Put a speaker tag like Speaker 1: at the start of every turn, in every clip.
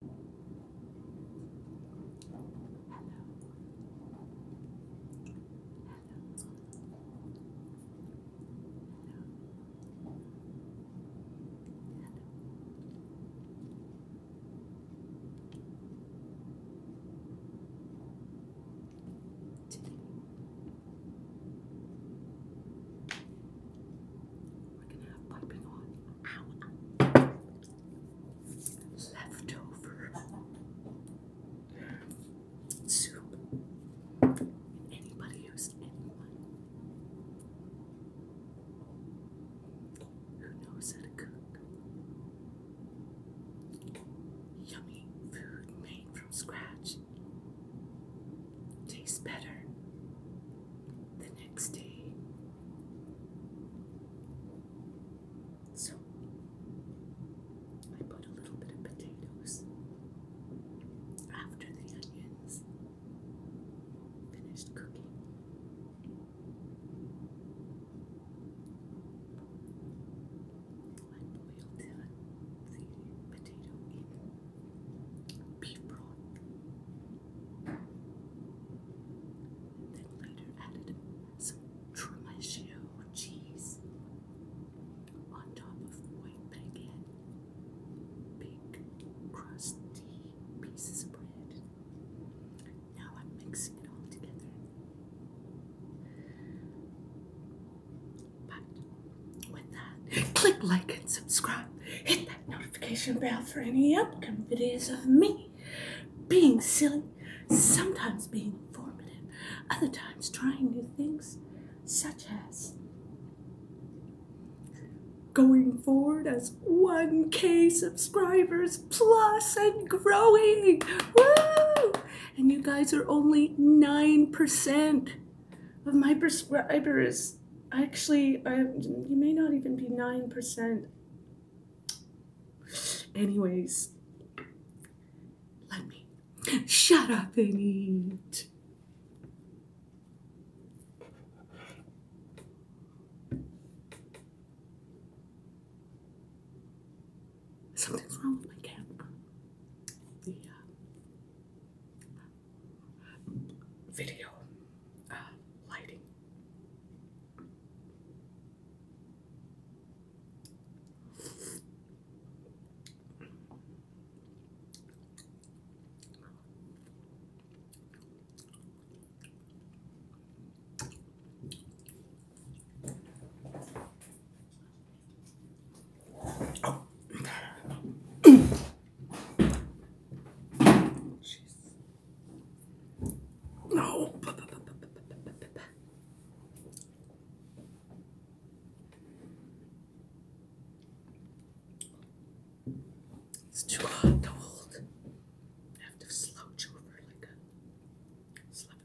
Speaker 1: Today, we're going to have piping on leftover soup. Anybody who's anyone who knows how to cook yummy food made from scratch tastes better the next day. So I put a little bit of potatoes after the onions finished cooking. potato beef broth. then later added some Trimaggio cheese on top of white baguette, big crusty pieces of bread. Now I'm mixing it all together. But with that, click like and subscribe. Hit that notification bell for any upcoming videos of me being silly, sometimes being informative, other times trying new things, such as going forward as 1K subscribers plus and growing. Woo! And you guys are only 9% of my prescribers actually I, you may not even be 9% anyways let me shut up and eat something's wrong with my camera the uh, video uh, lighting. No. It's too hot to hold. have to slouch over like a slug.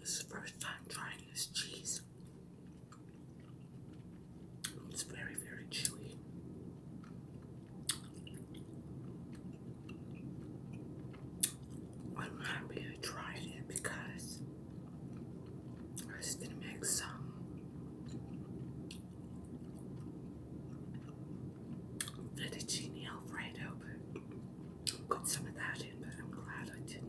Speaker 1: This is the first time trying this cheese. It's very, very chewy. I'm happy I tried it because I was gonna make some fettuccine alfredo, but got some of that in, but I'm glad I didn't.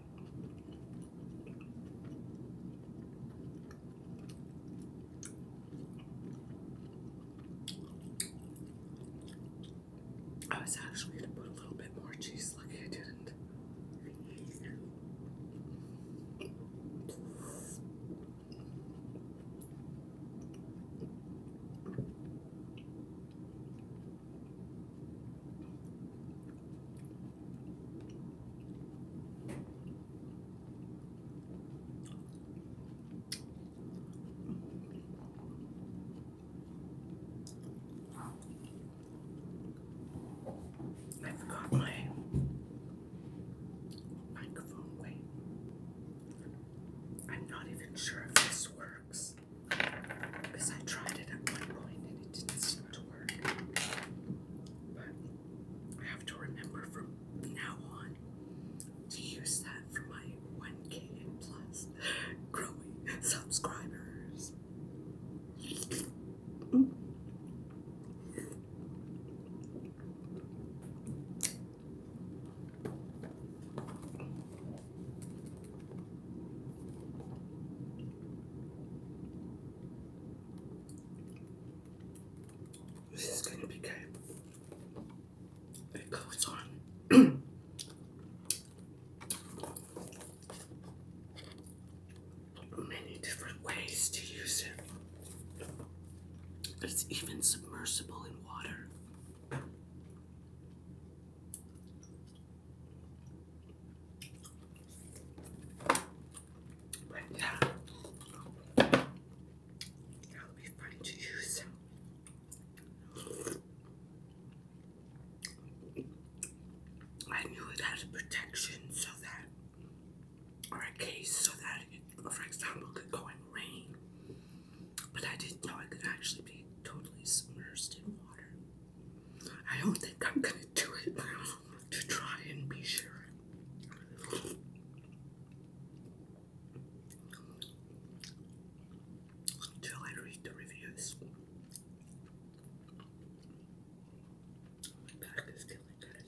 Speaker 1: I was actually going to put a little bit more cheese, lucky I didn't. I forgot my microphone weight. I'm not even sure if this works. Because I tried it at one point and it didn't seem to work. But I have to remember from now on to use that for my 1k plus growing subscribers. This is going to be good. It goes on. Many different ways to use it. It's even submersible in water. But yeah, that would be fun to use. I knew it had protection so that, or a case so that, for example, could go in rain but I didn't know I could actually be totally submerged in water. I don't think I'm gonna do it to try and be sure. Until I read the reviews. My back is killing guys.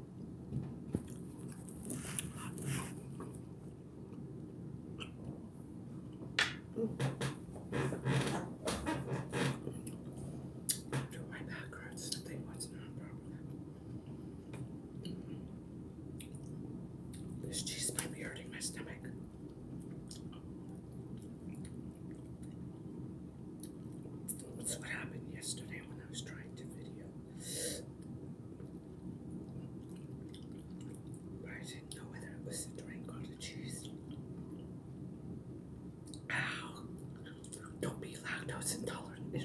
Speaker 1: Do my back hurts to not properly. This cheese might be hurting my stomach. That's what happened yesterday when I was trying to video. But I didn't know whether it was the drink or the cheese. Ow! Don't be lactose intolerant. It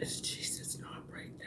Speaker 1: Is Jesus, not right now?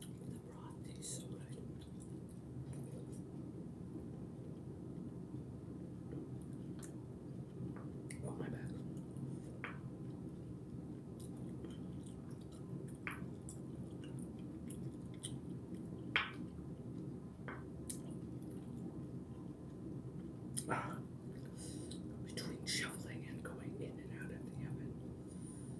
Speaker 1: The broth tastes so good. Oh my bad. Ah. between shoveling and going in and out of the oven,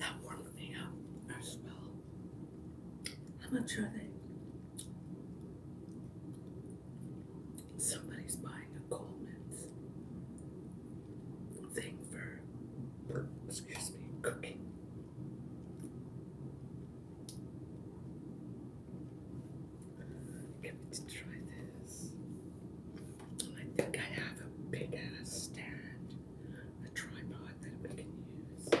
Speaker 1: That warmed me up as well. I'm not sure they Somebody's buying a Coleman's thing for, excuse me, cooking. Get me to try this. I think I have a big ass stand, a tripod that we can use.